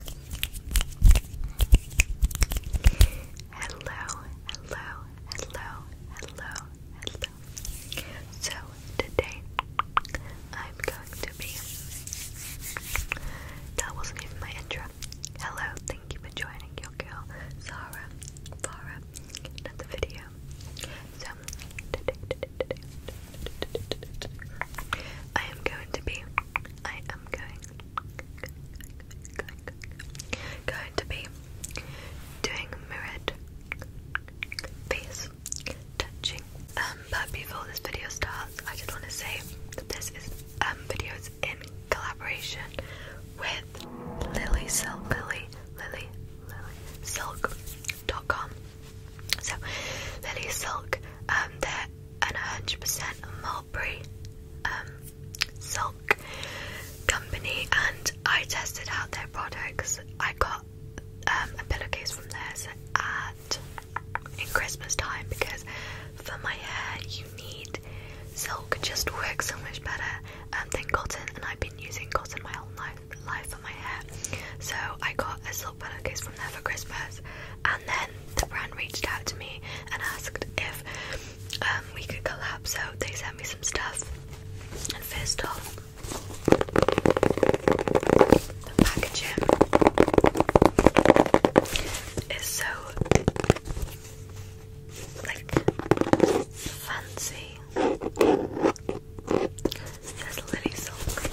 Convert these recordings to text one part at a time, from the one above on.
Hello, hello, hello, hello, hello. So today I'm going to be. That wasn't even my intro. Hello, thank you for joining your girl, Sarah, Farah, another video. So today, today, today, today, today, today, today, today I am going to be. I going, going, to be doing mirrored face touching. Um, but before this video starts, I just want to say that this is um videos in collaboration with Lily Silk, Lily, Lily, Lily com. So Lily Silk um, they're an 100% mulberry um, silk company and I tested out their products. I got um, a pillowcase from theirs at in Christmas time because for my hair you need silk just works so much better than cotton and I've been using cotton my whole life for my hair so I got a silk little pillowcase from there for Christmas, and then the brand reached out to me and asked if um, we could collab. So they sent me some stuff, and first off, the packaging is so like fancy. There's Lily Silk.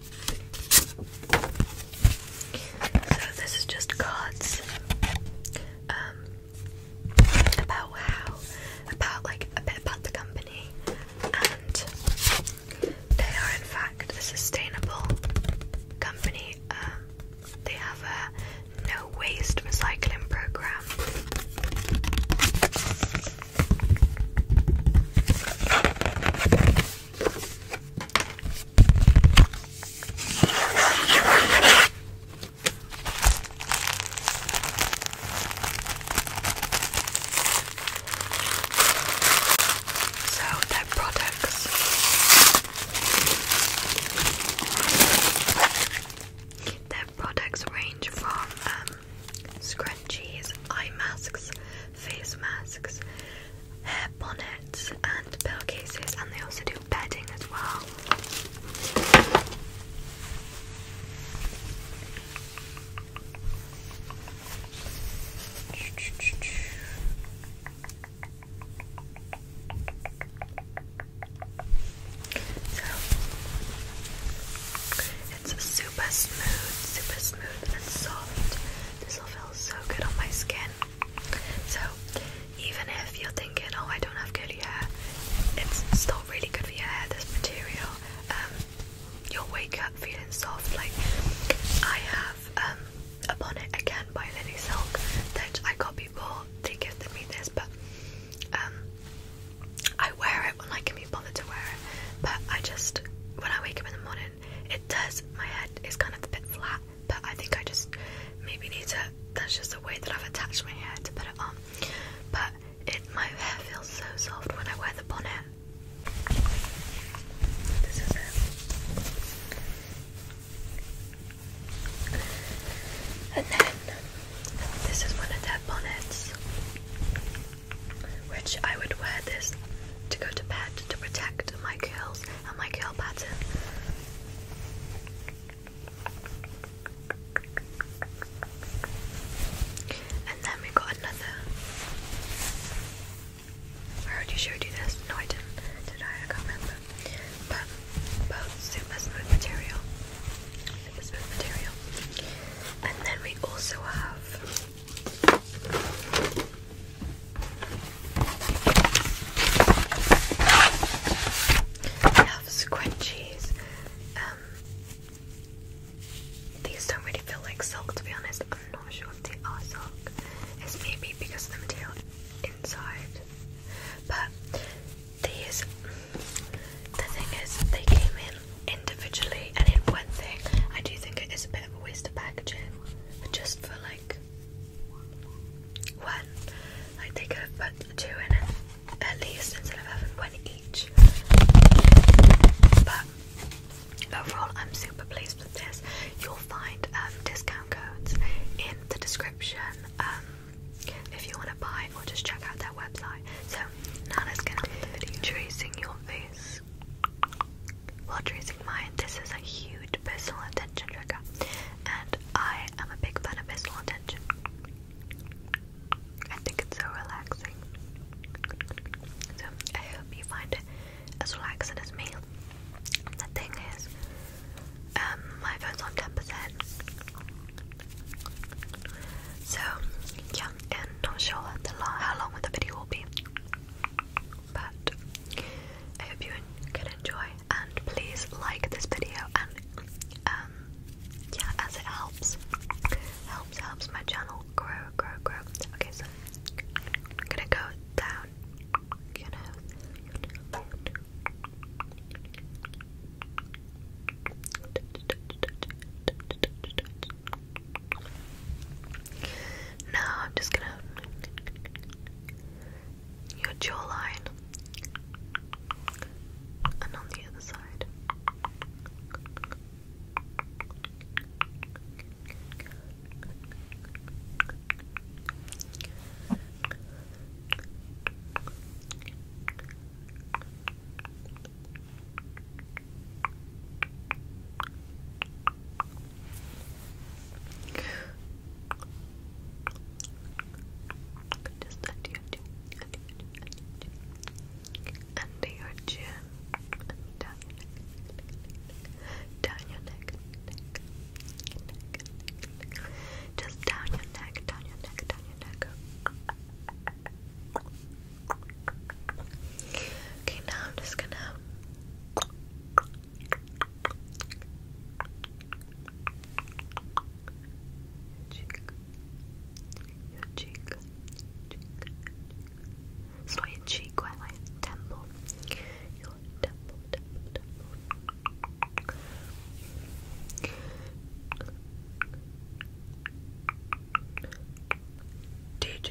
so this is just cards um, about how about like a bit about the company and they are in fact a sustainable company. Um, they have a no waste recycling program. So their products their products range from um, scrunchies, eye masks, face masks, hair bonnets, and pillowcases, and they also do bedding as well. It's super smooth, super smooth and soft. This will feel so good on my skin. So, even if you're thinking, oh, I don't have curly hair, it's still really good for your hair, this material. Um, you'll wake up feeling soft. Like, I have um, a bonnet again by Lily Silk that I got before. They gifted me this, but um, I wear it when I like can't be bothered to wear it. But I just, when I wake up in the morning, it does. My head is kind of a bit flat, but I think I just maybe need to. That's just the way that I've attached my hair to put it on. But it, my hair feels so soft when I wear the bonnet. And then this is one of their bonnets which I would wear this to go to bed to protect my curls and my curl pattern. And then we got another. I already showed you this. No, I didn't. Did I? I can't remember. But both super smooth material. Super smooth material. And then we also have I have scrunchies. Um, these don't really feel like silk to be honest. I'm not sure if they are silk. It's maybe because of the material inside. But these, the thing is, they came individually and in one thing. I do think it is a bit of a waste of packaging, just for like one, like they could put two in it at least instead of having one each. But overall, I'm super pleased with this. You'll find um, discount codes in the description. Um, if you want to buy or just check out their website. So now let's get on the video. Tracing your face. While tracing mine, this is a huge personal attention trigger, and I am a big fan of personal attention. I think it's so relaxing. So I hope you find it as relaxing as me. The thing is, um, my phone's on ten percent. So yeah, and not sure how long the video will be. But I hope you can enjoy, and please like this video, and um, yeah, as it helps, helps helps my channel grow, grow, grow. Okay, so I'm gonna go down, now I'm just gonna your jawline and on the other side. Just under your chin, under your chin, down your neck, down your neck, just down your neck, down your neck, down your neck. Okay, now I'm just gonna cheek, your cheek, cheek, cheek. cheek, quite temple, your temple, temple, temple. DJ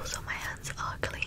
Also, my hands are clean.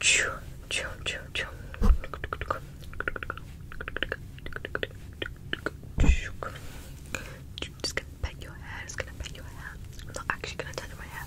Choo, choo, choo, choo. Just gonna pet your hair, just gonna pet your hair. I'm not actually gonna touch my hair.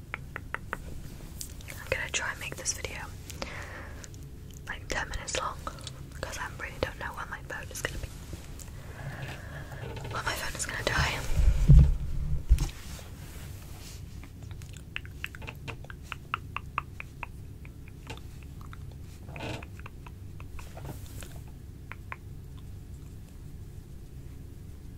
I'm gonna try and make this video like 10 minutes long because I really don't know when my phone is gonna be. Well, my phone is gonna die.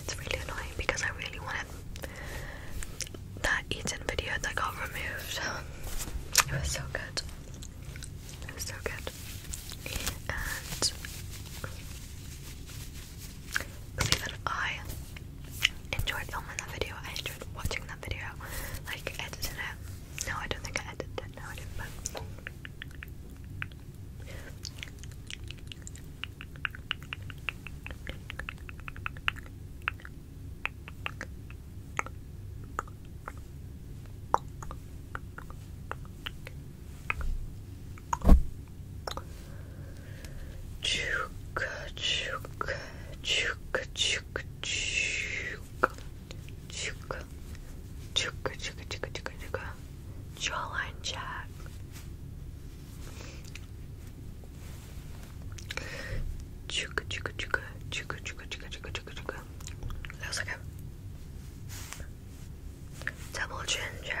It's really annoying because I really wanted that eaten video that got removed. It was so good. It was so good. And see that I enjoyed filming that video. I enjoyed watching that video. Like editing it. No, I don't think I edited No, I didn't. Chuka, chuka, chuka, chuka, chuka, chuka, chuka, chuka, chuka, chuka, chuka, jawline jack. Chuka, chuka, chuka, chuka, chuka, chuka, chuka, chuka, chuka. That was like a double chin check.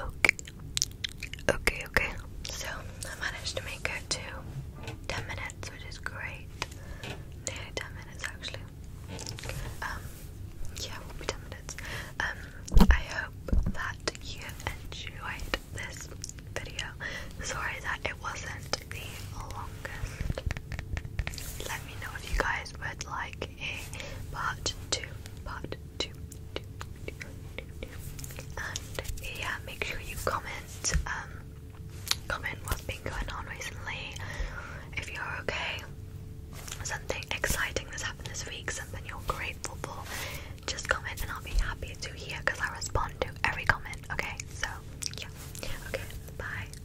Okay. Okay, okay. So I managed to make it to ten minutes, which is great. Nearly ten minutes actually. Um, yeah, will be ten minutes. Um, I hope that you enjoyed this video. Sorry that it wasn't the longest. Let me know if you guys would like a part two, part two, two, two, two, two. and yeah, make sure you comment, um, comment what's been going on recently, if you're okay, something exciting that's happened this week, something you're grateful for, just comment and I'll be happy to hear because I respond to every comment, okay? So, yeah, okay, bye.